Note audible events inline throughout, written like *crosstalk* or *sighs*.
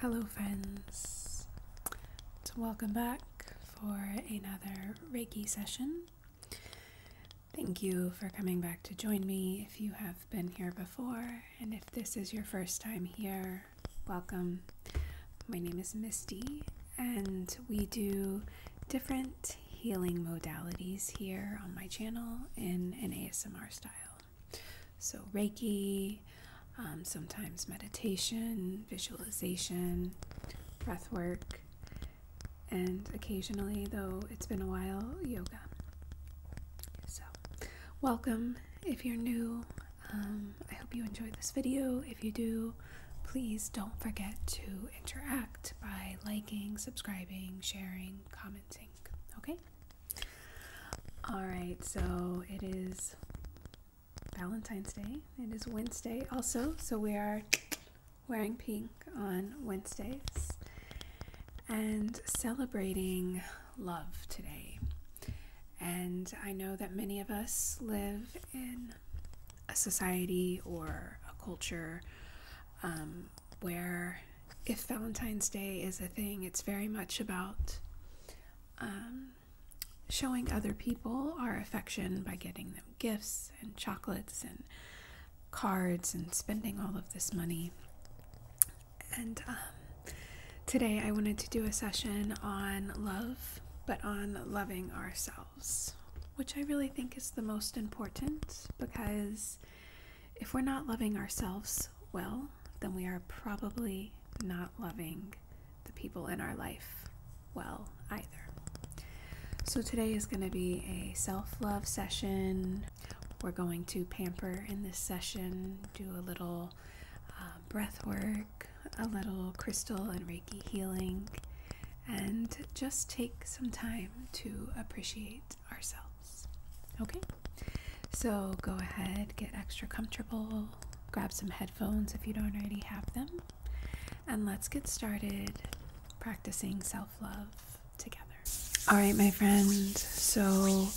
Hello, friends. So, welcome back for another Reiki session. Thank you for coming back to join me if you have been here before, and if this is your first time here, welcome. My name is Misty, and we do different healing modalities here on my channel in an ASMR style. So, Reiki, um, sometimes meditation, visualization, breath work, and occasionally, though it's been a while, yoga. So, welcome if you're new. Um, I hope you enjoyed this video. If you do, please don't forget to interact by liking, subscribing, sharing, commenting. Okay? Alright, so it is Valentine's Day. It is Wednesday also, so we are wearing pink on Wednesdays and celebrating love today. And I know that many of us live in a society or a culture um, where if Valentine's Day is a thing, it's very much about um, showing other people our affection by getting them gifts and chocolates and cards and spending all of this money. And um, today I wanted to do a session on love, but on loving ourselves, which I really think is the most important because if we're not loving ourselves well, then we are probably not loving the people in our life well either. So today is going to be a self love session we're going to pamper in this session, do a little uh, breath work, a little crystal and Reiki healing, and just take some time to appreciate ourselves. Okay? So go ahead, get extra comfortable, grab some headphones if you don't already have them, and let's get started practicing self love all right, my friends. So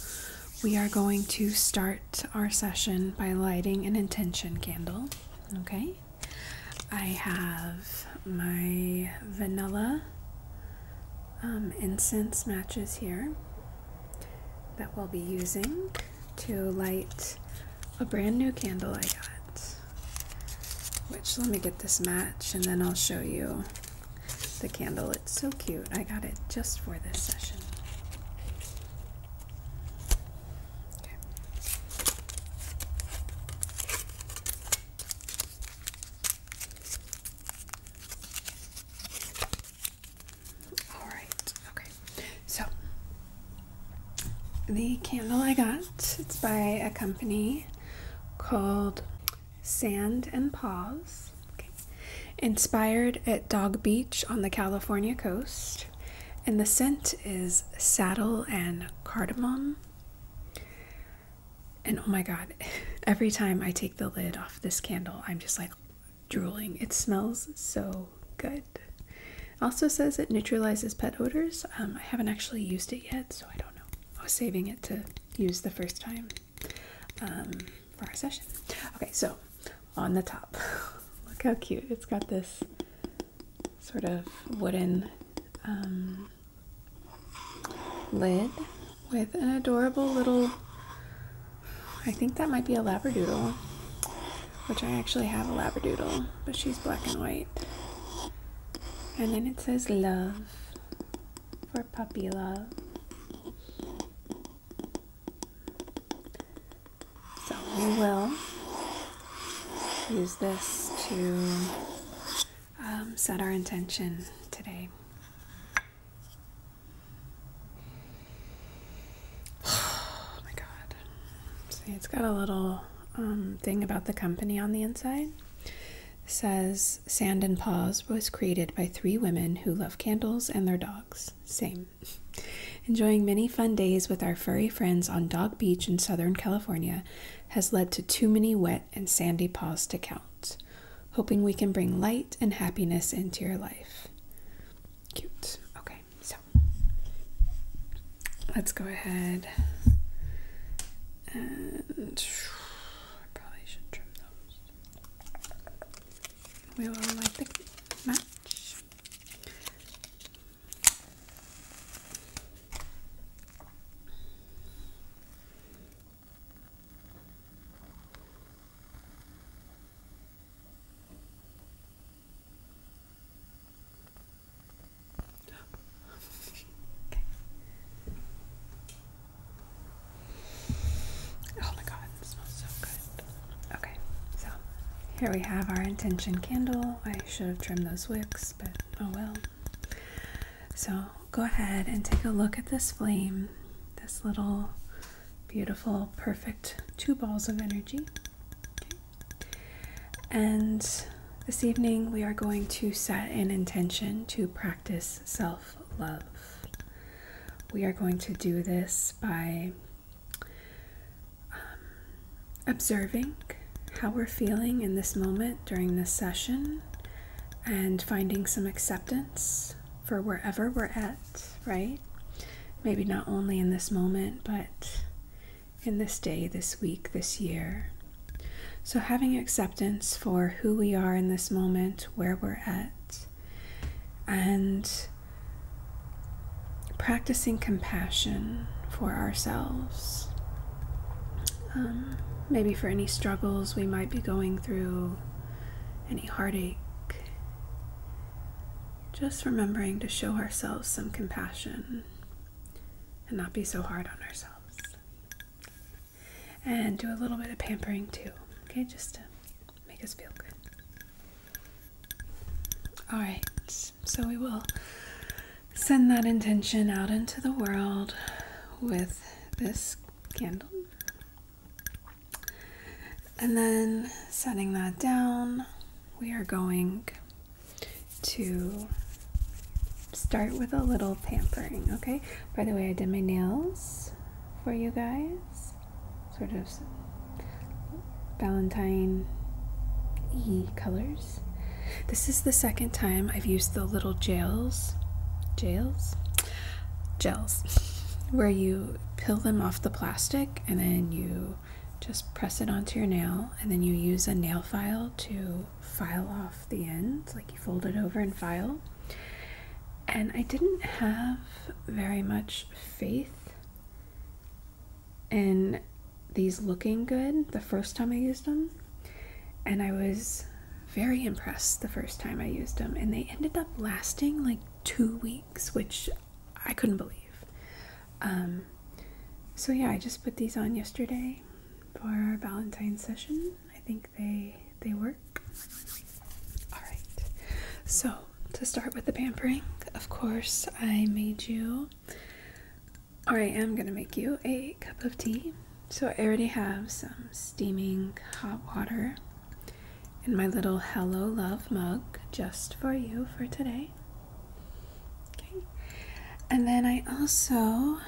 we are going to start our session by lighting an intention candle. Okay. I have my vanilla um, incense matches here that we'll be using to light a brand new candle I got. Which, let me get this match and then I'll show you the candle. It's so cute. I got it just for this session. All right. Okay. So the candle I got, it's by a company called Sand and Paws. Inspired at Dog Beach on the California coast. And the scent is saddle and cardamom. And oh my god, *laughs* every time I take the lid off this candle, I'm just like drooling. It smells so good. Also says it neutralizes pet odors. Um, I haven't actually used it yet, so I don't know. I was saving it to Use the first time um, for our session. Okay, so on the top, *laughs* look how cute. It's got this sort of wooden um, lid with an adorable little, I think that might be a Labradoodle, which I actually have a Labradoodle, but she's black and white. And then it says love for puppy love. So we will use this to um, set our intention today. *sighs* Oh my god. See, it's got a little um, thing about the company on the inside says Sand and Paws was created by three women who love candles and their dogs. Same. Enjoying many fun days with our furry friends on Dog Beach in Southern California has led to too many wet and sandy paws to count. Hoping we can bring light and happiness into your life. Cute. Okay, so let's go ahead and I probably should trim those. We will light the match okay. Oh my god, smells so good. Okay, so here we have our intention candle. I should have trimmed those wicks, but oh well. So go ahead and take a look at this flame, this little beautiful, perfect two balls of energy. And this evening we are going to set an intention to practice self love. We are going to do this by um, observing how we're feeling in this moment during this session and finding some acceptance for wherever we're at, right? Maybe not only in this moment, but in this day, this week, this year. So, having acceptance for who we are in this moment, where we're at, and practicing compassion for ourselves. Um, maybe for any struggles we might be going through, any heartache. Just remembering to show ourselves some compassion and not be so hard on ourselves and do a little bit of pampering too, okay, just to make us feel good. All right, so we will send that intention out into the world with this candle. And then setting that down, we are going to start with a little pampering, okay? By the way, I did my nails for you guys. Sort of Valentine E colors. This is the second time I've used the little gels. Gels? Gels. *laughs* Where you peel them off the plastic and then you just press it onto your nail and then you use a nail file to file off the ends like you fold it over and file and I didn't have very much faith in these looking good the first time I used them. And I was very impressed the first time I used them. And they ended up lasting like two weeks, which I couldn't believe. Um, so, yeah, I just put these on yesterday for our Valentine's session. I think they they work. All right. So to start with the pampering, of course, I made you, or I am gonna make you a cup of tea. So I already have some steaming hot water in my little Hello Love mug just for you for today. Okay. And then I also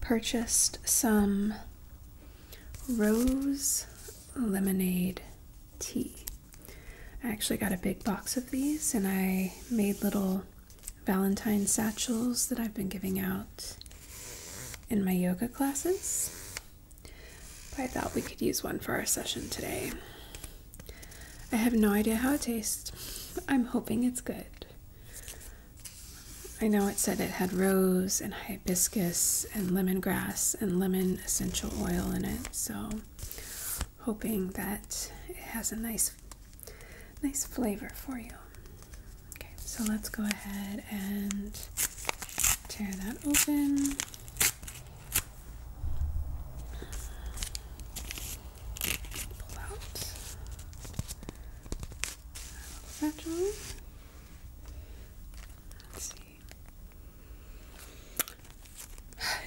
purchased some rose lemonade tea. I actually got a big box of these and I made little Valentine satchels that I've been giving out in my yoga classes. But I thought we could use one for our session today. I have no idea how it tastes. I'm hoping it's good. I know it said it had rose and hibiscus and lemongrass and lemon essential oil in it, so hoping that it has a nice nice flavor for you. Okay, so let's go ahead and tear that open. Pull out that Let's see.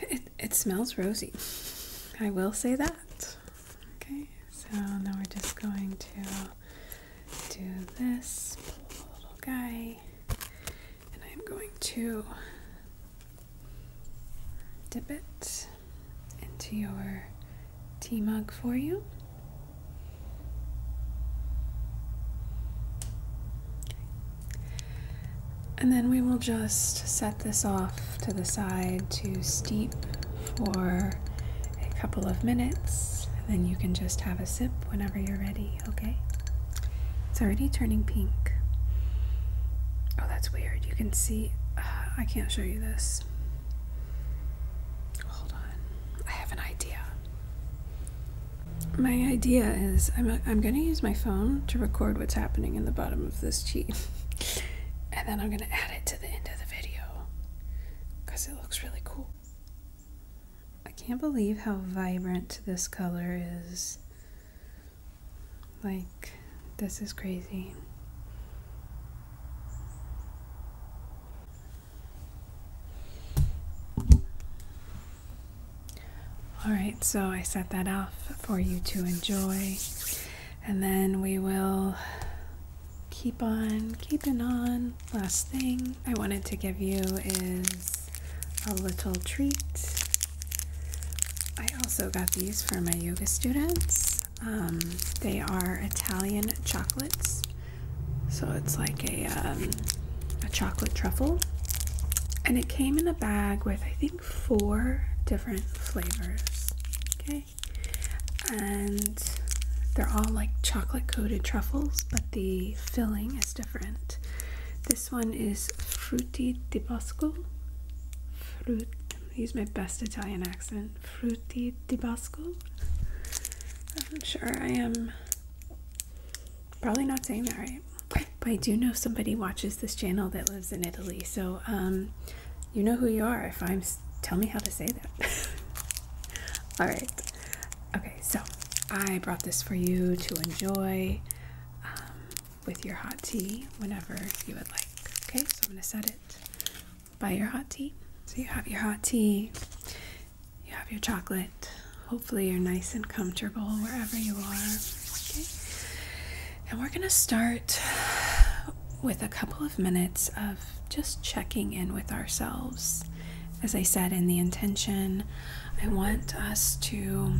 It it smells rosy. I will say that. Okay, so now we're just going to do this little guy, and I'm going to dip it into your tea mug for you. And then we will just set this off to the side to steep for a couple of minutes. And then you can just have a sip whenever you're ready, okay? It's already turning pink. Oh, that's weird. You can see, uh, I can't show you this. Hold on. I have an idea. My idea is I'm, I'm going to use my phone to record what's happening in the bottom of this cheat. *laughs* and then I'm going to add it to the end of the video. Because it looks really cool. I can't believe how vibrant this color is. Like, this is crazy. All right, so I set that off for you to enjoy. And then we will keep on keeping on. Last thing I wanted to give you is a little treat. I also got these for my yoga students. Um, they are Italian chocolates, so it's like a um, a chocolate truffle, and it came in a bag with I think four different flavors. Okay, and they're all like chocolate coated truffles, but the filling is different. This one is frutti di bosco. Fruit. Use my best Italian accent and fruity Tabasco. I'm sure I am probably not saying that right, but I do know somebody watches this channel that lives in Italy, so um, you know who you are. If I'm, tell me how to say that. *laughs* All right, okay. So I brought this for you to enjoy um, with your hot tea whenever you would like. Okay, so I'm gonna set it by your hot tea. So you have your hot tea, you have your chocolate. Hopefully, you're nice and comfortable wherever you are. Okay. And we're going to start with a couple of minutes of just checking in with ourselves. As I said in the intention, I want us to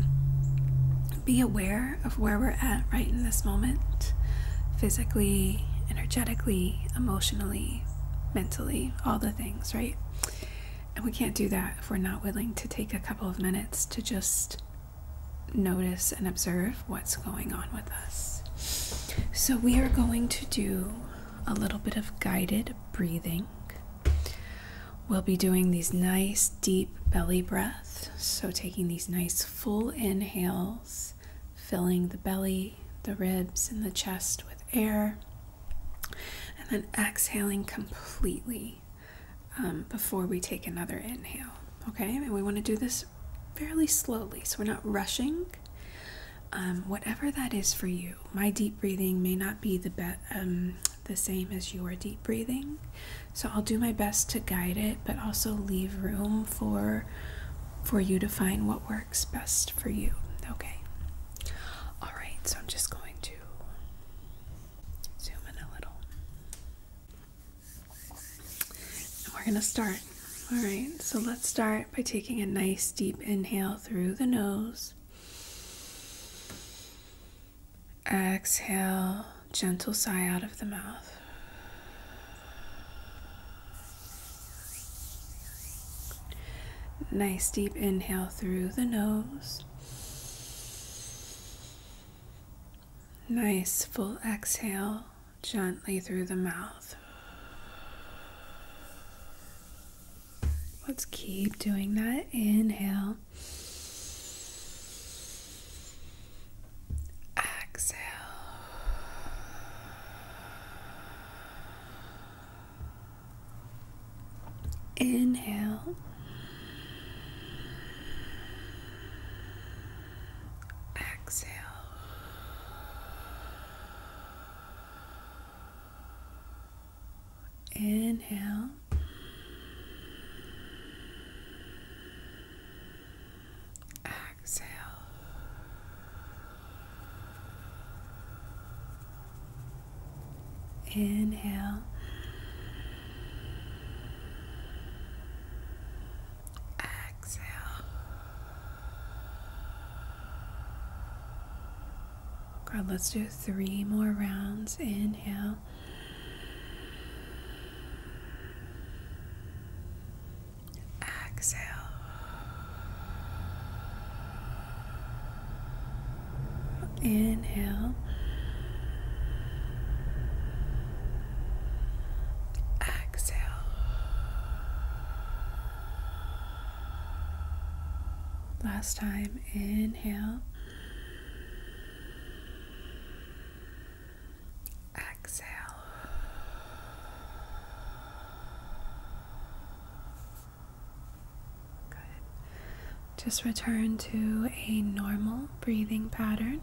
be aware of where we're at right in this moment, physically, energetically, emotionally, mentally, all the things, right? And we can't do that if we're not willing to take a couple of minutes to just notice and observe what's going on with us. So, we are going to do a little bit of guided breathing. We'll be doing these nice deep belly breaths. So, taking these nice full inhales, filling the belly the ribs, and the chest with air, and then exhaling completely um, before we take another inhale. Okay, and we want to do this fairly slowly, so we're not rushing. Um, whatever that is for you, my deep breathing may not be the um, the same as your deep breathing. So I'll do my best to guide it, but also leave room for for you to find what works best for you. Okay. All right, so I'm just going to zoom in a little. And we're going to start. All right, so let's start by taking a nice deep inhale through the nose. Exhale, gentle sigh out of the mouth. Nice deep inhale through the nose. Nice full exhale gently through the mouth. Let's keep doing that. Inhale. Exhale. Inhale. Exhale. Inhale. Exhale. Inhale. Exhale. God, let's do three more rounds. Inhale. Exhale. Inhale. Exhale. Last time, inhale. Exhale. Good. Just return to a normal breathing pattern.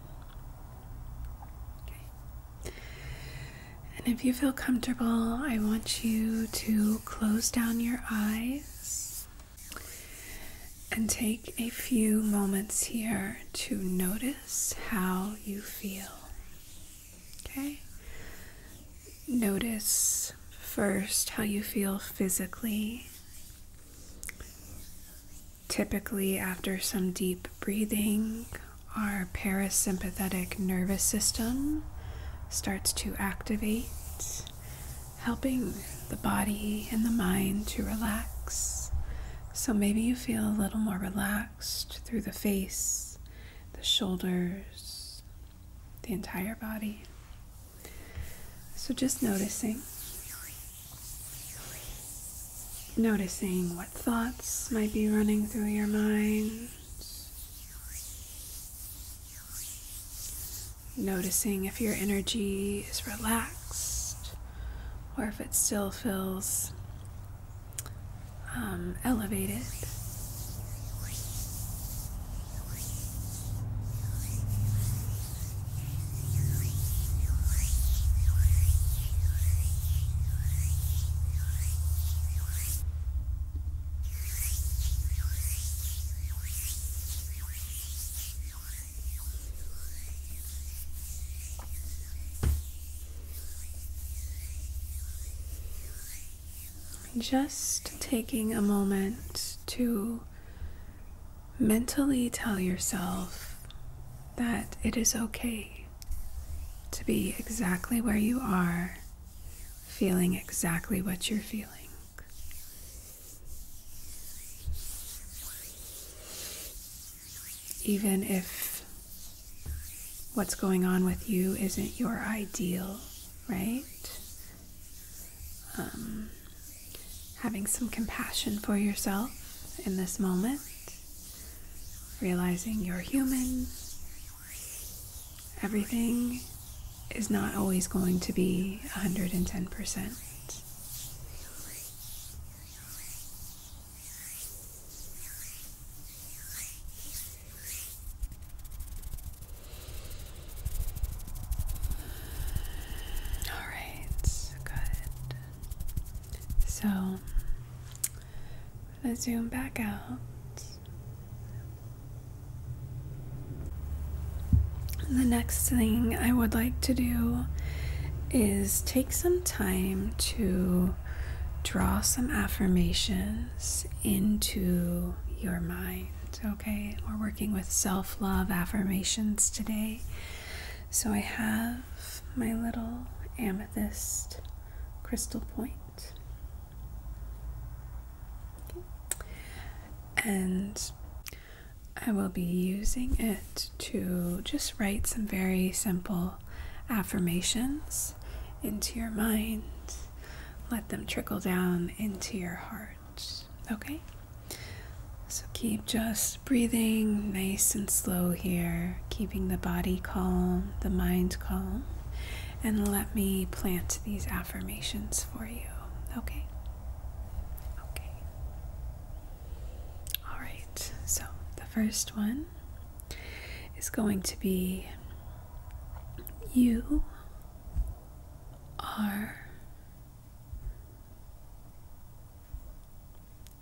And if you feel comfortable, I want you to close down your eyes and take a few moments here to notice how you feel. Okay? Notice first how you feel physically. Typically, after some deep breathing, our parasympathetic nervous system starts to activate, helping the body and the mind to relax. So maybe you feel a little more relaxed through the face, the shoulders, the entire body. So just noticing. Noticing what thoughts might be running through your mind. Noticing if your energy is relaxed or if it still feels um, elevated. Just taking a moment to mentally tell yourself that it is okay to be exactly where you are, feeling exactly what you're feeling even if what's going on with you isn't your ideal, right? Um, having some compassion for yourself in this moment, realizing you're human, everything is not always going to be 110%. All right, good. So I'm gonna zoom back out. The next thing I would like to do is take some time to draw some affirmations into your mind. Okay, we're working with self love affirmations today. So I have my little amethyst crystal And I will be using it to just write some very simple affirmations into your mind. Let them trickle down into your heart. Okay? So keep just breathing nice and slow here, keeping the body calm, the mind calm, and let me plant these affirmations for you. Okay? Okay. All right. So the first one is going to be you are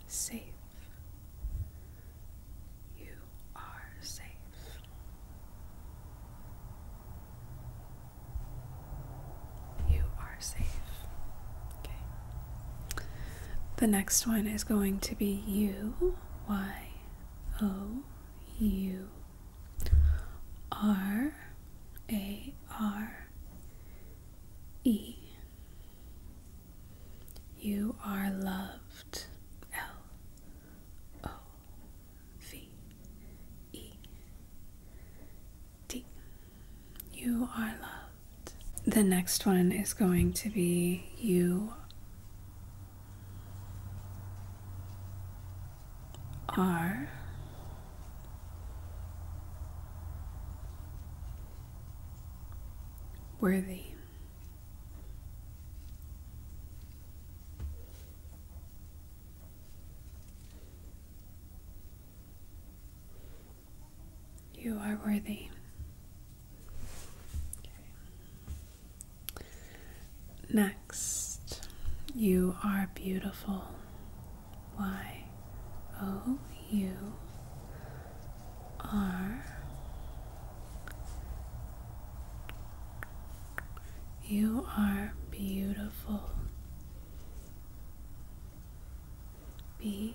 safe. You are safe. You are safe. Okay. The next one is going to be you Y O U R A R E. You are loved. L O V E T. You are loved. The next one is going to be you are worthy. You are worthy. Next, you are beautiful. Y O U R You are beautiful. B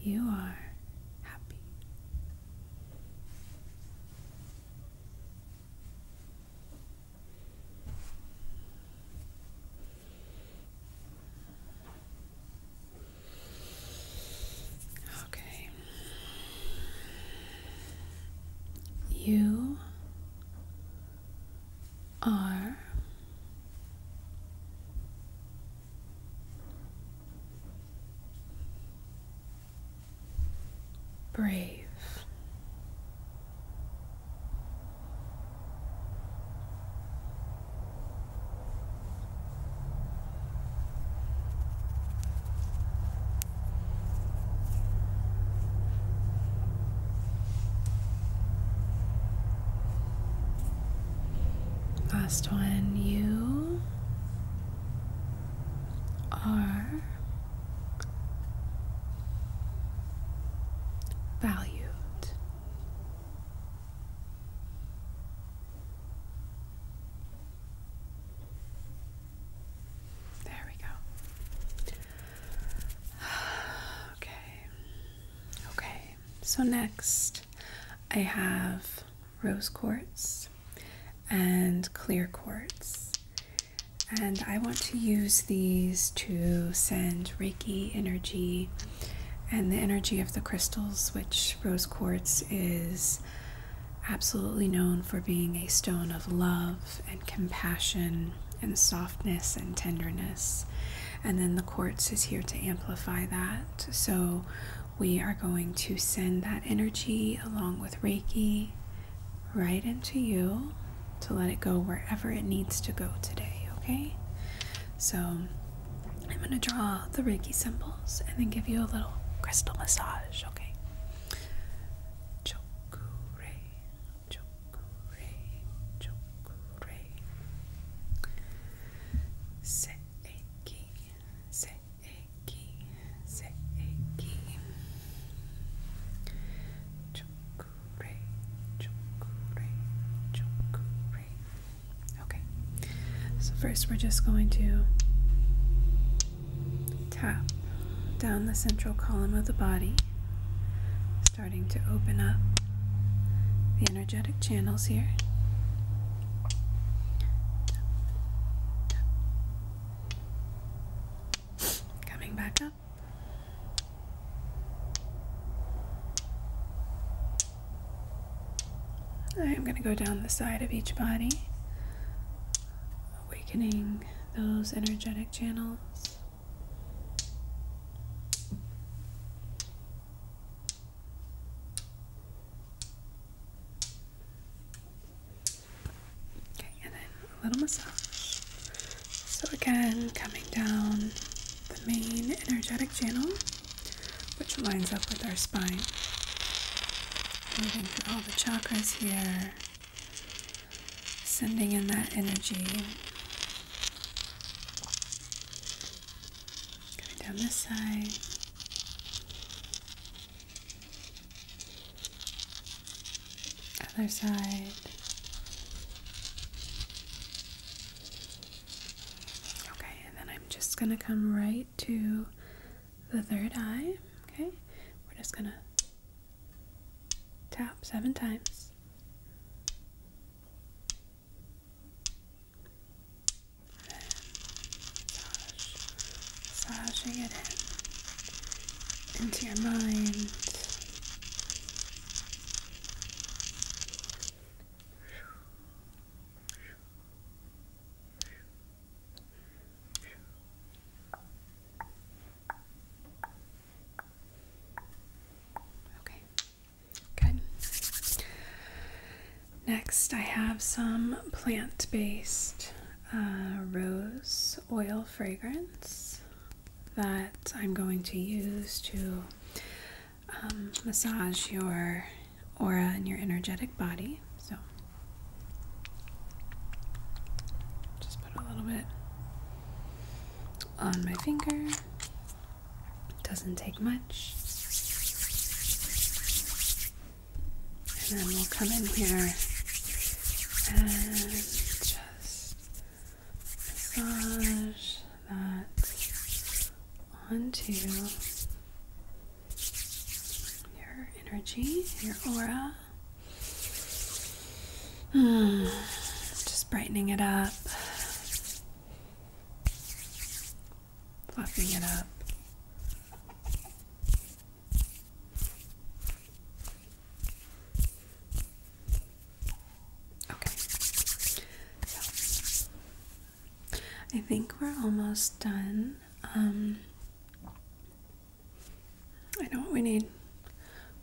you are happy. Okay. You are Brave. Last one, you are valued. There we go. *sighs* Okay. Okay. So next I have rose quartz and clear quartz. And I want to use these to send Reiki energy and the energy of the crystals, which rose quartz is absolutely known for being a stone of love and compassion and softness and tenderness. And then the quartz is here to amplify that. So, we are going to send that energy along with Reiki right into you to let it go wherever it needs to go today, okay? So, I'm going to draw the Reiki symbols and then give you a little crystal massage, okay? Seiki, seiki, seiki. Chokure, chokure, chokure. Okay. So first we're just going to tap down the central column of the body, starting to open up the energetic channels here. Coming back up. I'm going to go down the side of each body, awakening those energetic channels. Okay, and then a little massage. So, again, coming down the main energetic channel, which lines up with our spine. Moving through all the chakras here, sending in that energy down this side. Other side. Okay, and then I'm just going to come right to the third eye. Okay, we're just going to tap seven times. Then massage, massaging it in into your mind. Okay, Good. Next, I have some plant based uh, rose oil fragrance that I'm going to use to um, massage your aura and your energetic body. So, just put a little bit on my finger. It Doesn't take much. And then we'll come in here and just massage that onto your energy, your aura. *sighs* just brightening it up fluffing it up. Okay, so I think we're almost done. Um, I know what we need.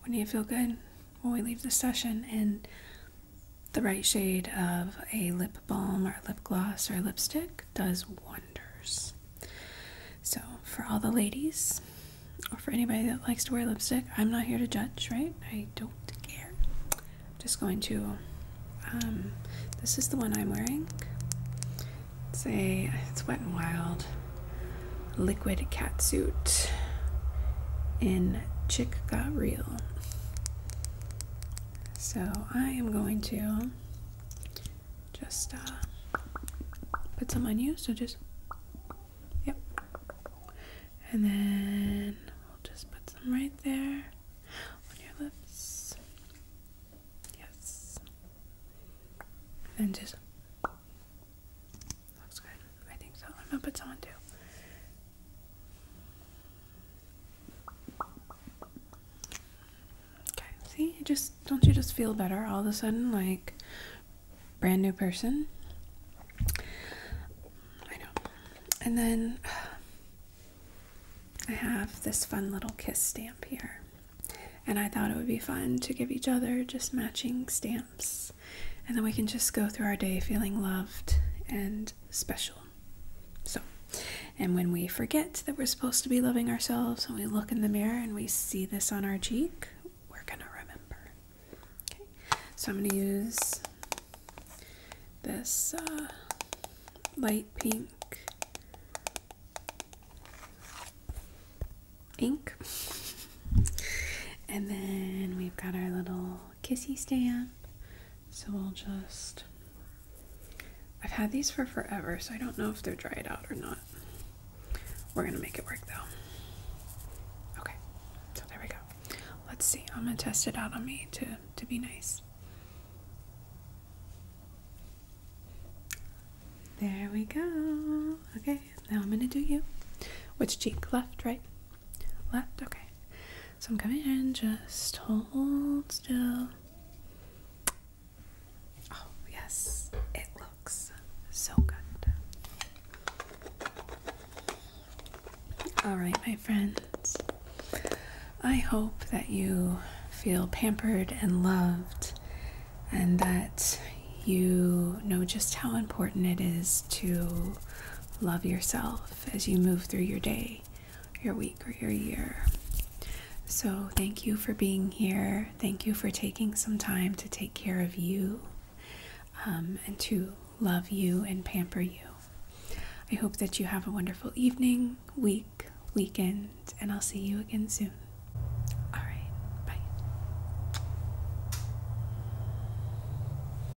We need to feel good when we leave the session, and the right shade of a lip balm or lip gloss or lipstick does wonders. So, for all the ladies, or for anybody that likes to wear lipstick, I'm not here to judge, right? I don't care. I'm just going to. Um, this is the one I'm wearing. It's a it's Wet n Wild liquid Cat Suit in Chick Got Real. So I am going to just uh, put some on you. So just, yep. And then we'll just put some right there on your lips. Yes. And just, looks good. I think so. I'm going to put some on too. Okay, see, just don't you just feel better all of a sudden, like brand new person? I know. And then *sighs* I have this fun little kiss stamp here. And I thought it would be fun to give each other just matching stamps. And then we can just go through our day feeling loved and special. So, and when we forget that we're supposed to be loving ourselves, when we look in the mirror and we see this on our cheek, we're going to remember. Okay, so I'm going to use this uh, light pink ink. *laughs* And then we've got our little kissy stand. So I'll just. I've had these for forever, so I don't know if they're dried out or not. We're gonna make it work though. Okay, so there we go. Let's see. I'm gonna test it out on me to to be nice. There we go. Okay, now I'm gonna do you. Which cheek? Left, right? Left, okay. So I'm coming in, just hold still. Oh, yes, it looks so good. All right, my friends, I hope that you feel pampered and loved, and that you know just how important it is to love yourself as you move through your day your week or your year. So, thank you for being here. Thank you for taking some time to take care of you um, and to love you and pamper you. I hope that you have a wonderful evening, week, weekend, and I'll see you again soon. All right, bye.